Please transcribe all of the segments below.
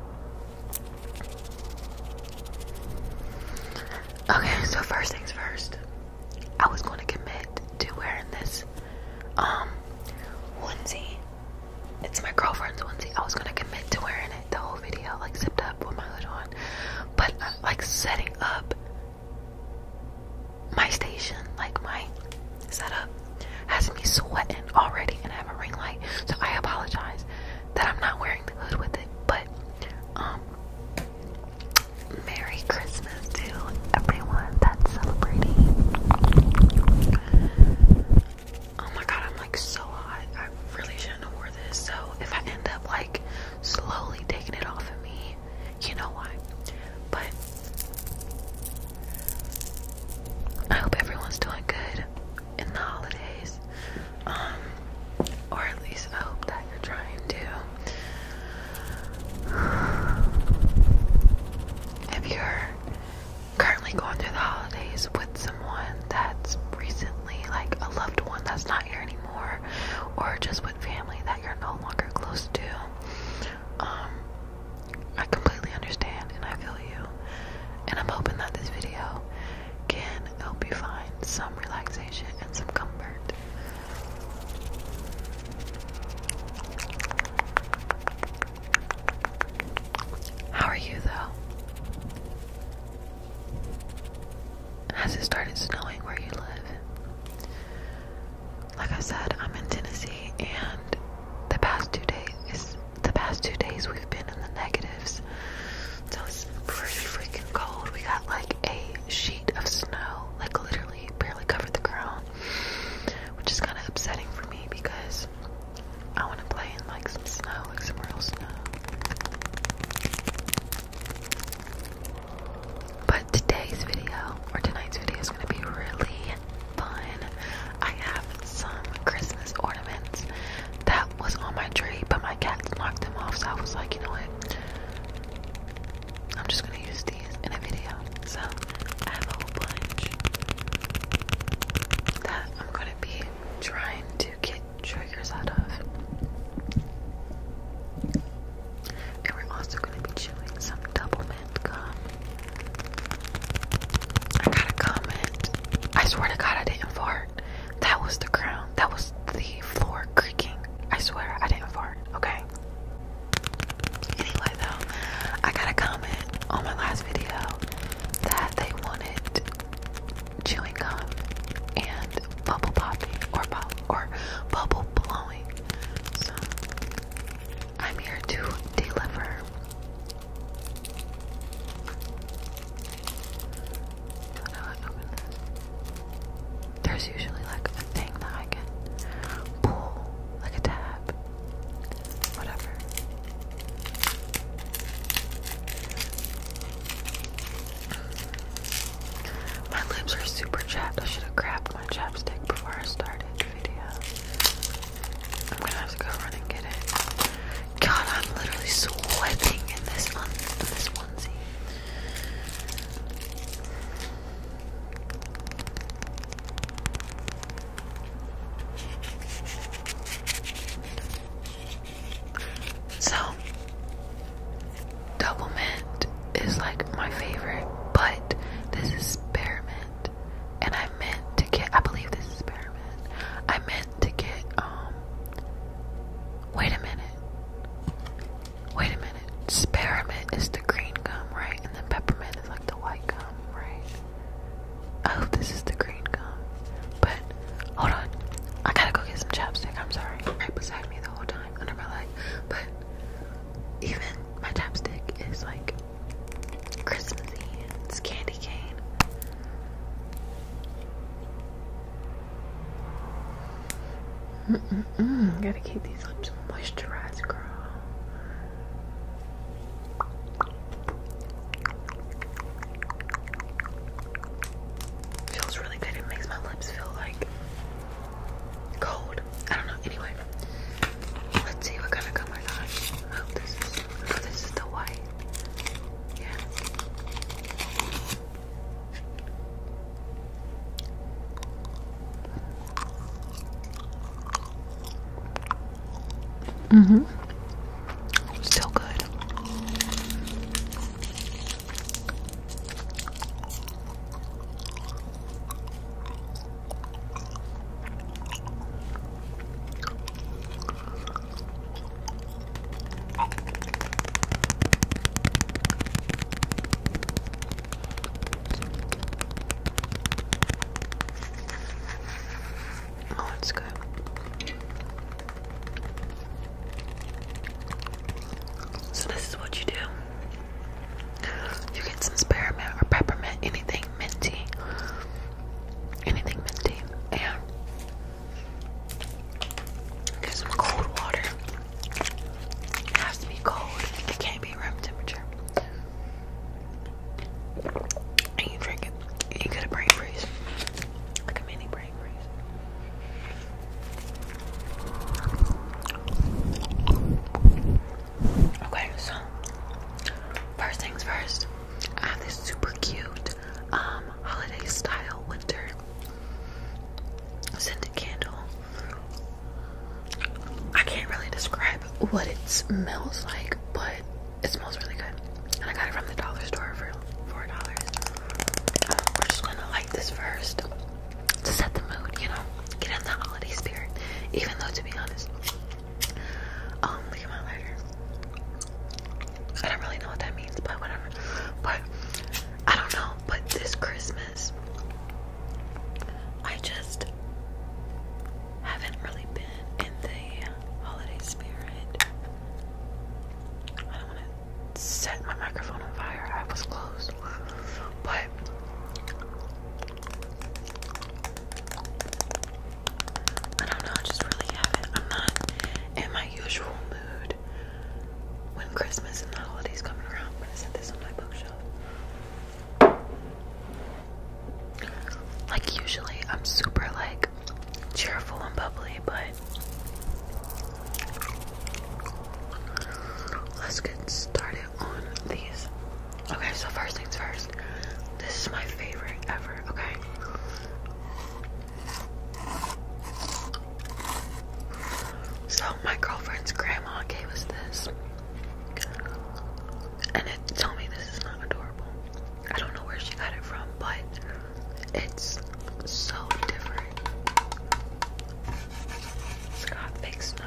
Okay, so first things first, I was going to commit to wearing this um onesie. It's my girlfriend's onesie. I was going to commit to wearing it the whole video, like zipped up with my hood on. But uh, like setting up my station, like my setup, has me sweating already, and I have a ring light. So I apologize that I'm not wearing the hood with it, but um, Merry Christmas to everyone that's celebrating. Oh my god, I'm like so hot. I really shouldn't have this. So if I end up like slowly taking it off of me, you know why. But I hope everyone's doing good in the holidays. Um, or at least I hope that you're trying to. If you're currently going through the holidays with someone that's recently, like a loved one that's not here anymore, or just with family that you're no longer close to, um, I completely understand and I feel you. And I'm hoping that this video can help you find some relaxation and some comfort. How are you though? Has it started snowing where you live? Like I said, I'm in Tennessee and the past two days the past two days we've been in the negatives. So it's pretty freaking cold. We got like a sheet of snow, like literally barely covered the ground, which is kind of upsetting for me because I want to play in like some snow, like some real snow. But today's video, or tonight's video, is going to be really fun. I have some Christmas ornaments that was on my tray, but my cat knocked them off, so I was like, you know what? I'm just gonna use these in a video. So I have a whole bunch that I'm gonna be trying to get triggers out of. And we're also gonna be chewing some double mint gum. I got a comment I swear to God, I didn't fart. That was the crown. That was the floor creaking. I swear, I didn't fart. Okay. Anyway, though, I got a comment on my last video that they wanted chewing gum and bubble popping or or bubble blowing. So I'm here to deliver. There's usually like a thing that I can pull, like a tab, whatever. My lips are super chapped. I should have grabbed my chapstick before I started the video. I'm gonna have to go run get it. God, I'm literally sweating in this one, this onesie. So, double mint is like my favorite, but this is spearmint, and I I meant to get I believe this is peppermint. I meant to get um wait a minute. Wait a minute. Spearmint is the green gum, right? And then peppermint is like the white gum, right? I oh, hope this is the green gum. But hold on. I gotta go get some chapstick, I'm sorry. Right beside me the whole time under my leg. But even my chapstick is like Christmassy and candy candy Gotta keep these lips moisturized, girl. Feels really good. It makes my lips feel like cold. I don't know. Anyway, let's see what kind of gum I got. Oh, this is oh, the white. Mm-hmm. Still good. Oh, it's good. So this is what you do. You get some spearmint or peppermint, anything minty, anything minty, and Cause cold water has to be cold. It can't be room temperature. And you drink it. And you brain freeze. Like a mini brain freeze. Okay, so first things first, I have this super cute um holiday style winter scented candle. I can't really describe what it smells like, but it smells really good. And I got it from the dollar store for four dollars. Um, we're just gonna light this first to set the mood, you know, get in the holiday spirit. Even though, to be honest, um, look at lighter. I don't really know what that means, but whatever. But I don't know. But this Christmas, I just haven't really been in the holiday spirit. I don't want to set my microphone on fire. I was close, but I don't know, just really haven't. I'm not in my usual mood when Christmas and the holidays coming around. I'm gonna set this on my bookshelf. Like usually I'm super like cheerful and bubbly, but let's get started on these. Okay, so first things first. This is my favorite ever, okay? So my girlfriend's grandma gave us this. And it tell me this is not adorable. I don't know where she got it from, but it's so different. It's got big snow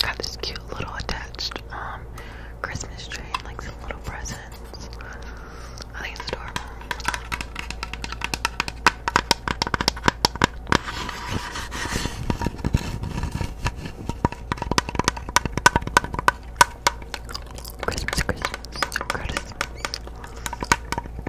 Got this cute little attached um, Christmas tree and like some little presents. I think it's adorable. Christmas, Christmas, Christmas.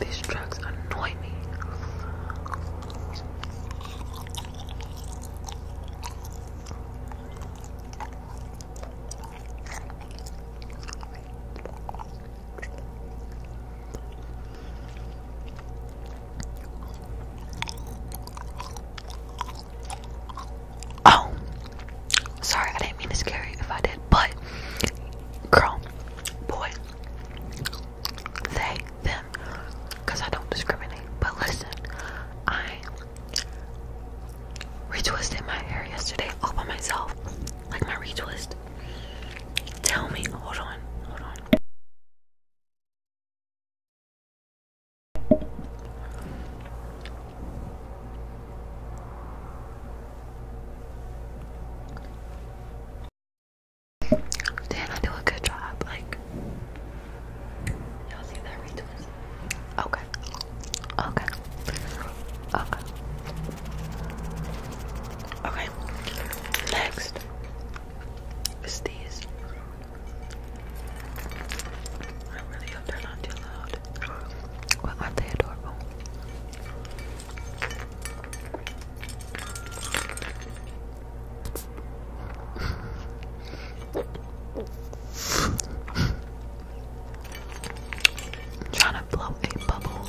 These drugs annoy me. Oh, sorry, I didn't mean to scare you if I did, but girl, boy, they, them, I don't discriminate. But listen, I retwisted my hair yesterday all by myself, like my retwist. Tell me, hold on, hold on. Dan, I do a good job. Like, y'all see that retwist? Okay. Okay. Okay. Okay. Next is these. I really hope they're not too loud. Well, aren't they adorable? trying to blow a bubble.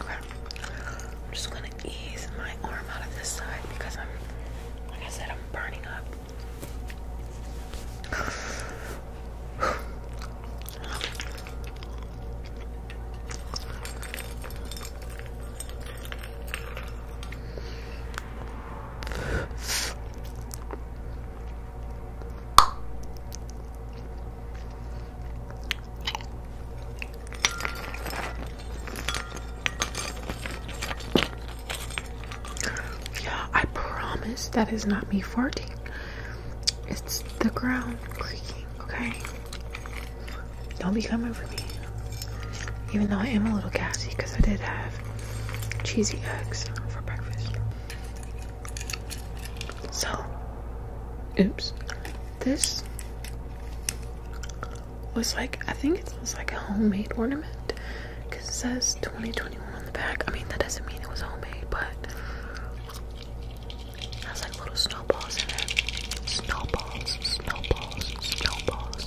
Okay. I'm just gonna ease my arm out of this side because I'm, like I said, I'm burning up. Yeah, I promise that is not me farting. It's the ground creaking, okay? Don't be coming over me. Even though I am a little gassy because I did have cheesy eggs for breakfast. So, oops, this was like, I think it was like a homemade ornament because it says 2021 on the back. I mean, that doesn't mean it was homemade, but it has like little snowballs in it. Snowballs, snowballs, snowballs.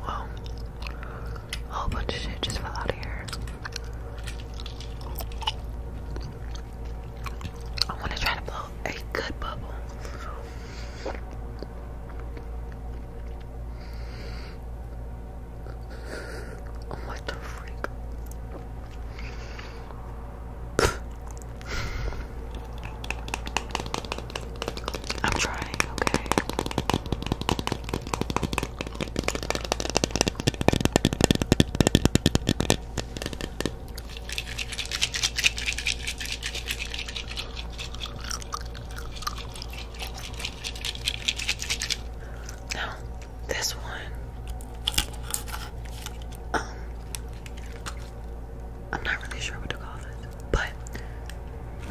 Wow. A whole bunch of shit just fell out of here. I want to try to blow a good bubble. Oh, what freak? I'm trying, okay. Now, this one, um, I'm not really sure what to call this, but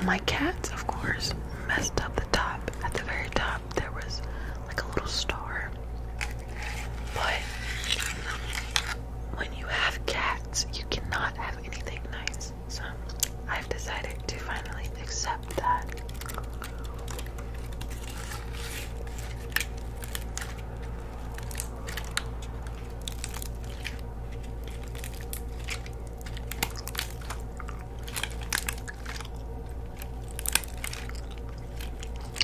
my cats, of course, messed up the top. At the very top, there was like a little star. But when you have cats, you cannot have anything nice. So I've decided to finally accept that.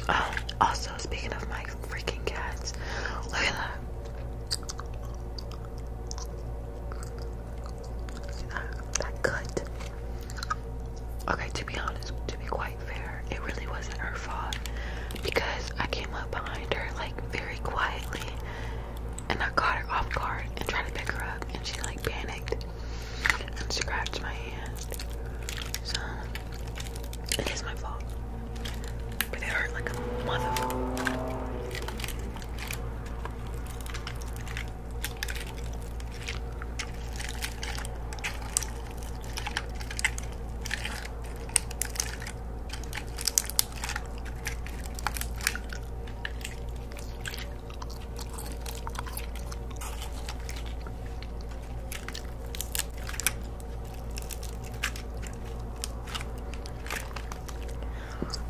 Oh, also, speaking of my freaking cats, look at That cut. Okay, to be honest, to be quite fair, it really wasn't her fault because I came up behind her like very quietly and I caught her off guard and tried to pick her up, and she like panicked and scratched my hand. So it is my fault, but it hurt like a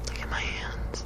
Look at my hands.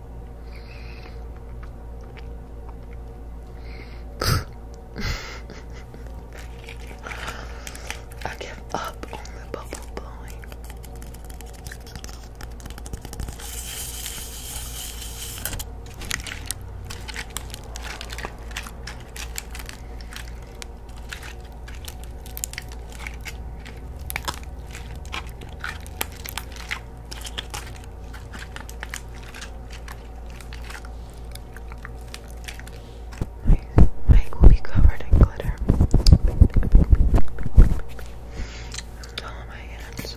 I give up on the bubble blowing. My mic will covered in glitter. Oh my hands.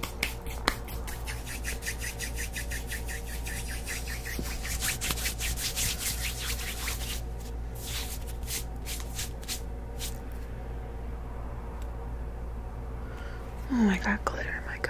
Oh, I got glitter in my gut.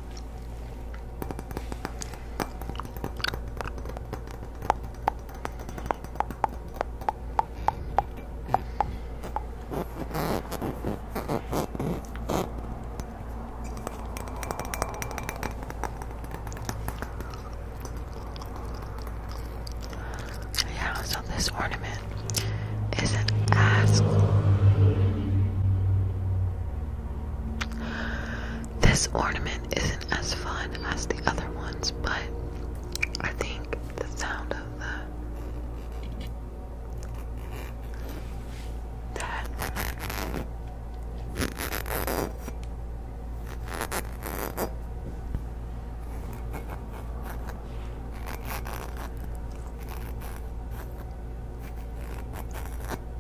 Yeah, so this ornament is an ass. This ornament isn't as fun as the other ones, but I think the sound of the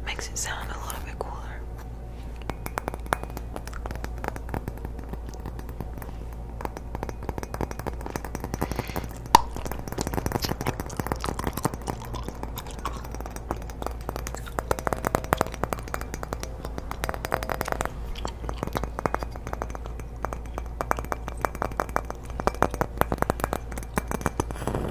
Makes it sound a little bit cooler.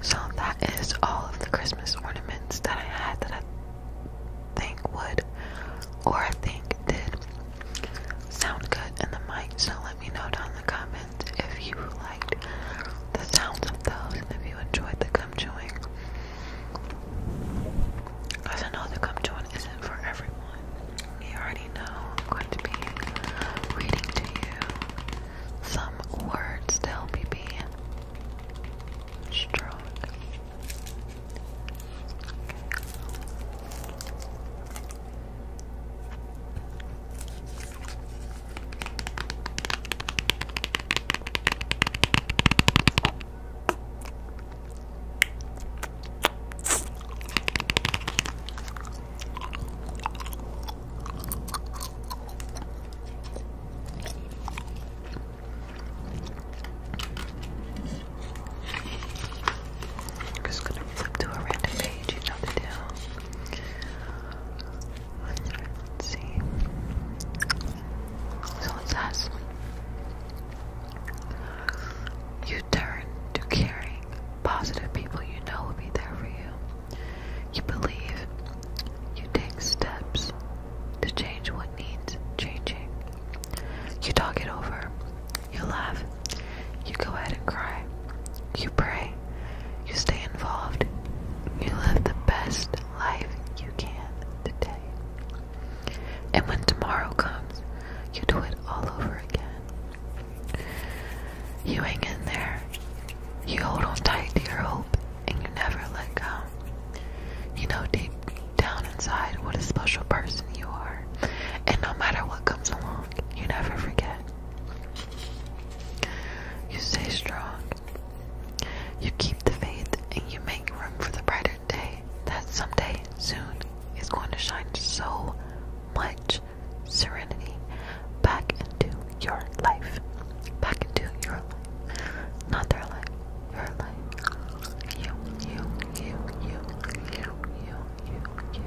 So that is all of the Christmas ornaments that I had that I think would or think did sound good in the mic. So let me know down in the comments if you liked the sounds of those and if you enjoyed the gum chewing. Because I know the gum chewing isn't for everyone. You already know I'm going to be reading to you some words to help you be strong. I'm just gonna flip to a random page, you know the deal. Let's see. So it says you turn to caring. Positive people you know will be there for you. You believe. You take steps to change what needs changing. You talk it over. You laugh. You go ahead and cry. You pray. You stay involved. You live the best life you can today. And when tomorrow comes, you do it all over again. You hang in there. You hold on tight to your hope and you never let go. You know deep down inside what a special person you are. And no matter what comes along, you never forget. You stay strong. You keep the faith and you make room for the brighter day that someday soon is going to shine so much serenity back into your life. Back into your life. Not their life. Your life. You, you, you, you, you, you, you, you, you,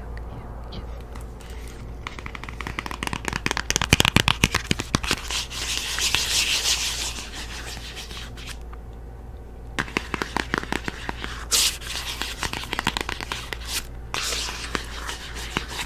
you.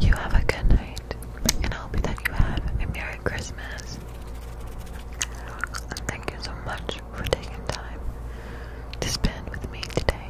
You have a good night, and I hope that you have a Merry Christmas. thank you so much for taking time to spend with me today.